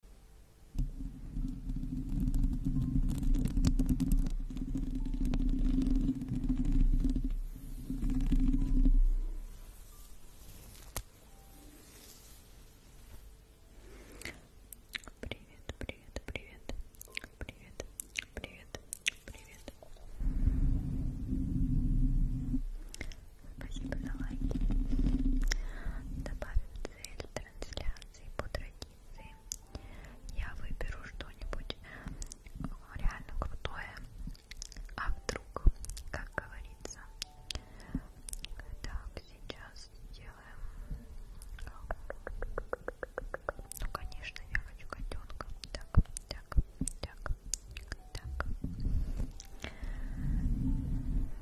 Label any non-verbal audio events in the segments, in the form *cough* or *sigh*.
Привет, привет, привет, привет, привет, привет. Спасибо за лайки. Добавим цель трансляции по традиции я выберу что-нибудь ну, реально крутое, а вдруг, как говорится. Так, сейчас сделаем. Ну, конечно, я хочу котенка. Так, так, так, так.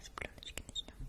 С пленочки начнем.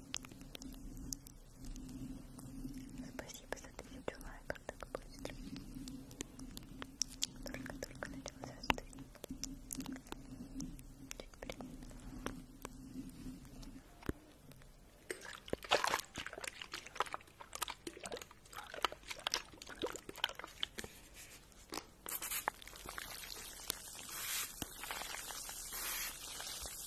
Спасибо за тысячу лайков, так быстро. Только-только начался стрим. Чуть блин.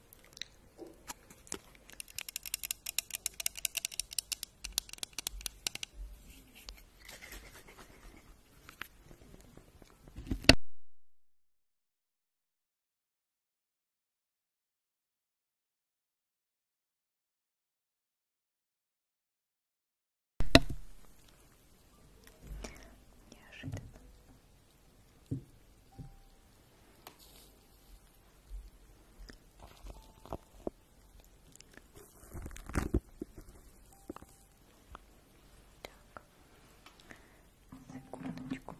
Неожиданно Секундочку. Так.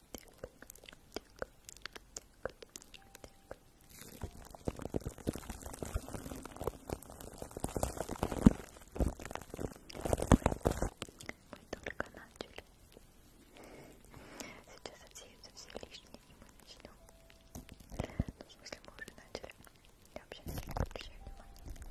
только начали. Сейчас отсеются все лишние, и мы начнем. Ну, в смысле, мы уже начали. Я вообще не обращаю внимания.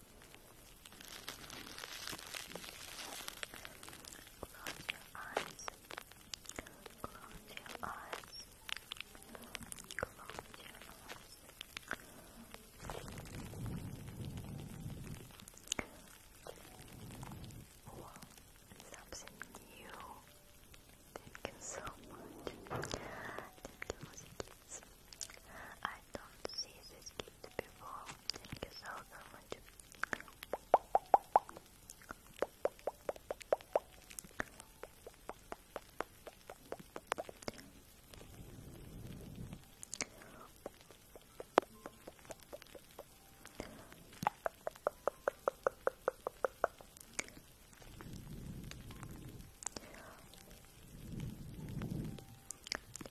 Close your eyes. Close your eyes. Close your eyes. Wow, something new. Thank you so much. Thank you, kids. I I don't see this kid before. Thank you so much.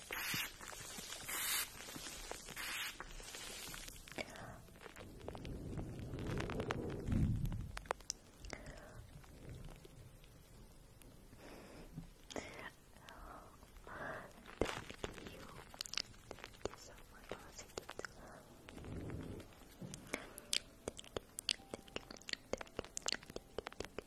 Thank you. Thank you so much. Thank you. Thank you. Thank you. Thank you. Thank you. Thank you.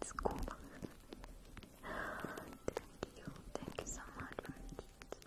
It's cool. Thank you. Thank you so much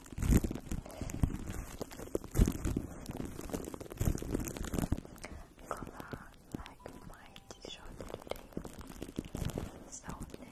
color like my t So thank you.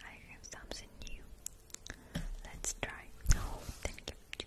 I have something new. Let's try. Oh, thank you.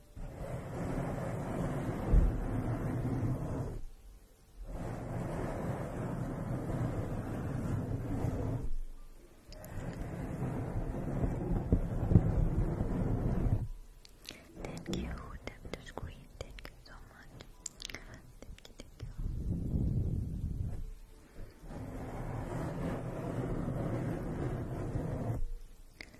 Thank you, tap to thank you so much. Thank you,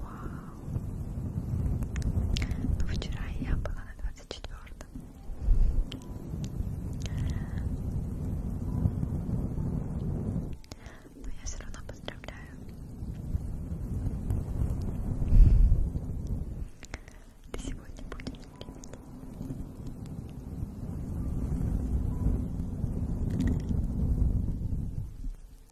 Вау. Вчера я была на 24-м. Но я все равно поздравляю. Ты сегодня будешь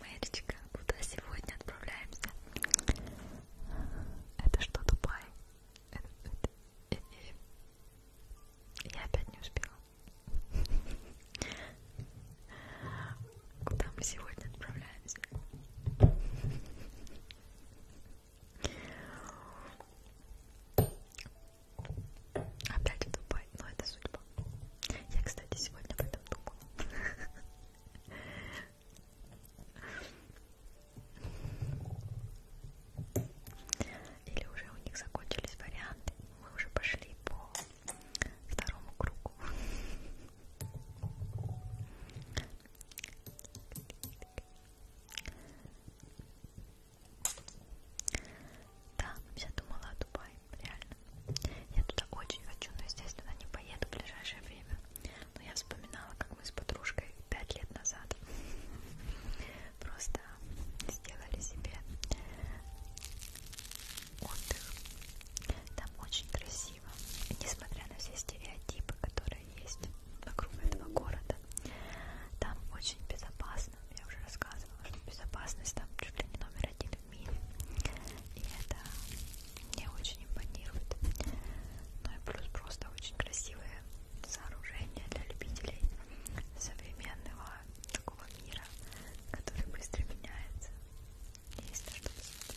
Мэричка, куда сегодня отправляемся? Это что, Дубай? Это, это, это. Э. Я опять не успела. Куда мы сегодня отправляемся? Опять в Дубай, но это судьба. Я, кстати, сегодня об этом думала. Или уже у них закончились варианты. Мы уже пошли по второму кругу. Да, я думала о Дубае, реально. Я туда очень хочу, но, естественно, не поеду в ближайшее время. Но я вспоминала, как мы с подружкой пять лет назад *laughs* просто сделали себе отдых. Там очень красиво, несмотря на все стереотипы, которые есть вокруг этого города. Там очень безопасно. Я уже рассказывала, что безопасность там чуть ли не номер один в мире. И это мне очень импонирует. Ну и плюс просто очень красивое сооружение для любителей современного такого мира, который быстро меняется. Есть на что посмотреть.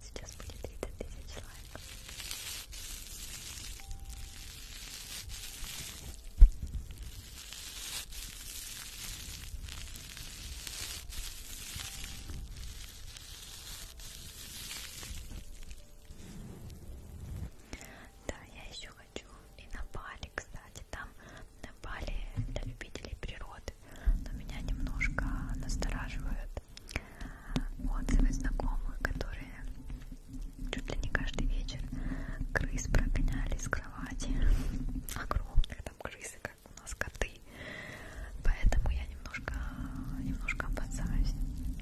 Сейчас будет 30 тысяч лайков. Да, я еще хочу и на Бали, кстати, там на Бали для любителей природы, но меня немножко настораживает отзывы знакомых, которые чуть ли не каждый вечер крыс прогоняли с кровати. Огромных там крысы, как у нас коты. Поэтому я немножко, немножко опасаюсь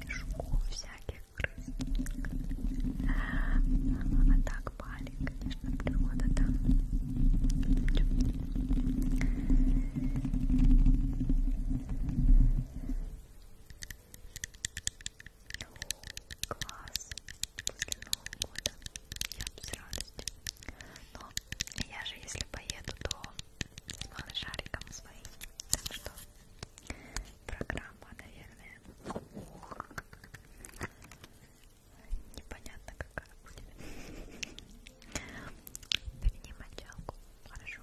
жуков всяких крыс. А так пали, конечно, природа там. Да. Класс. После Нового года я буду с радостью. Но я же, если поеду, то с малышариком своим. Так что программа, наверное, непонятно какая будет. Верни мочалку. Хорошо.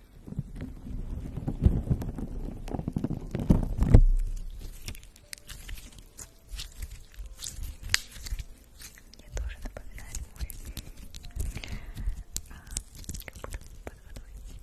Мне тоже напоминает море. А, как будто под водой. Ой,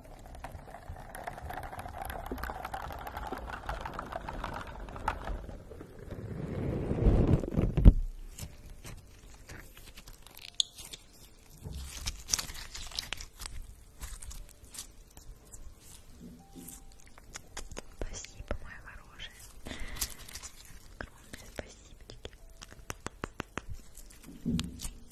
Спасибо, моя хорошая. Огромное спасибо.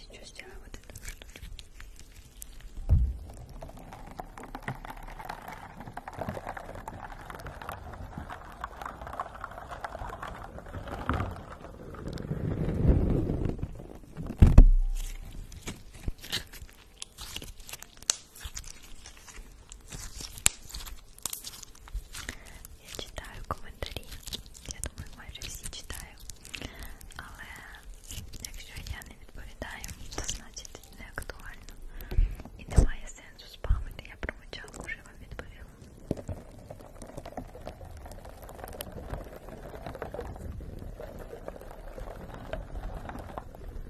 Сейчас сделаем вот эту штучку. Я читаю коментарі, я думаю, майже всі читаю, але якщо я не відповідаю, то значить не актуально. І немає сенсу спамити, я промовчала, вже вам відповіла.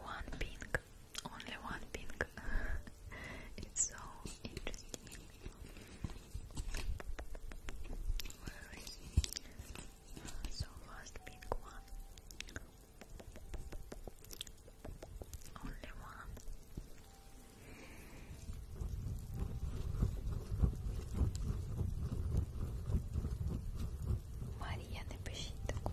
One pink, only one pink. *laughs* it's so interesting. Where is he? So fast, big one. Only one. Мария, напишіть таку.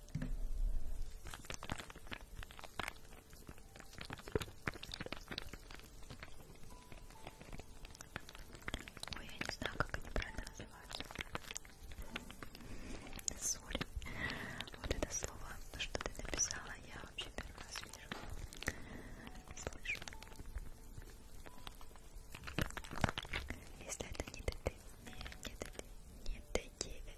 Ой, я не знаю, как они правильно называются. Соль. Вот это слово, то, что ты написала, я вообще первый раз вижу. Слышу. Если это не ДТ, не, не ДТ, не ДТ,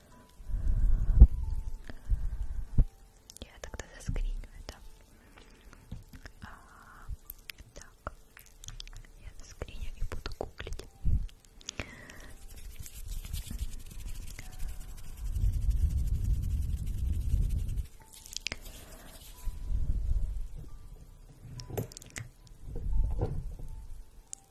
Я тогда заскриню это. А, так, я заскриню и буду гуглить.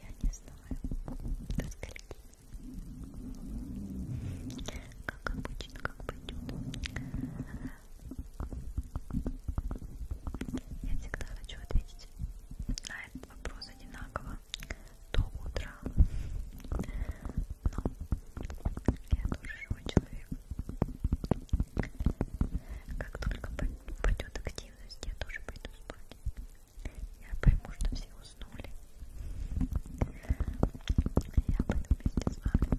Я не знаю, до скольки как обычно, как пойдет. Я всегда хочу ответить на этот вопрос одинаково до утра. Но я тоже живой человек. Как только пойдет активность, я тоже пойду спать. Я пойму, что все уснули. Я пойду вместе с вами.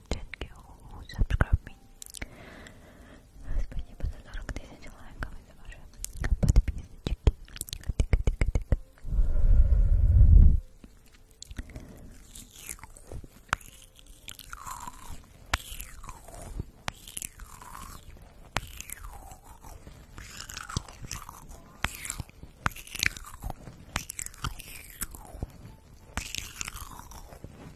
Thank you, subscribe me. Спасибо за 40 тысяч лайков и за ваши подписочки.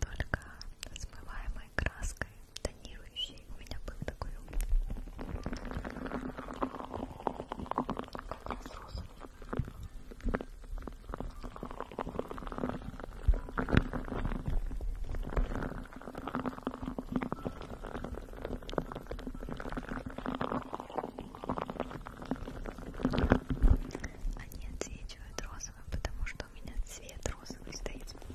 Только смываемой краской тонирующей у меня был такой люблю. А Они отсвечивают розовым, потому что у меня цвет розовый стоит сбоку.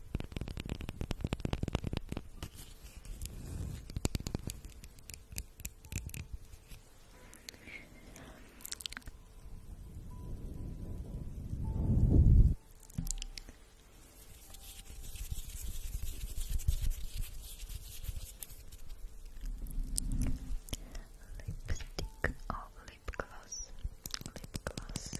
Lipstick or oh, lip gloss, lip gloss.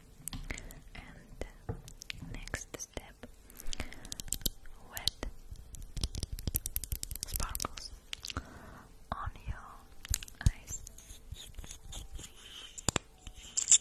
And uh, next step wet sparkles on your eyes. Close your eyes.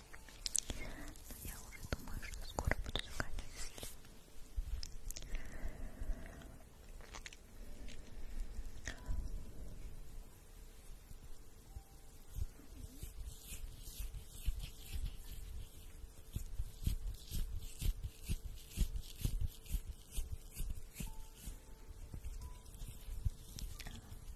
Но я уже думаю, что скоро буду заканчивать.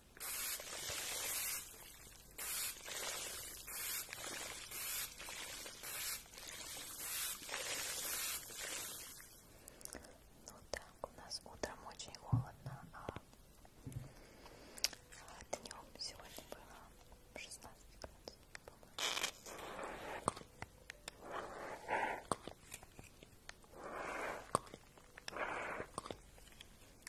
Ну так, у нас утром очень холодно, а, а днем сегодня было 16 градусов, по-моему.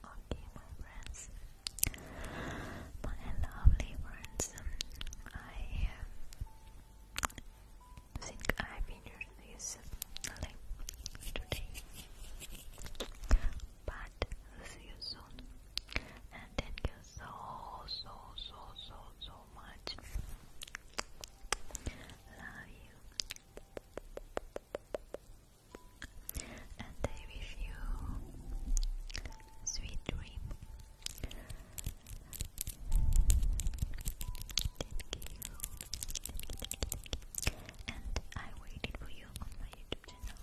Okay, my friends, my lovely friends, I um, think I finished this link today, but see you soon, and thank you so, so, so, so, so much. Love you and I wish you sweet dream. Thank you, and I waited for you on my YouTube channel.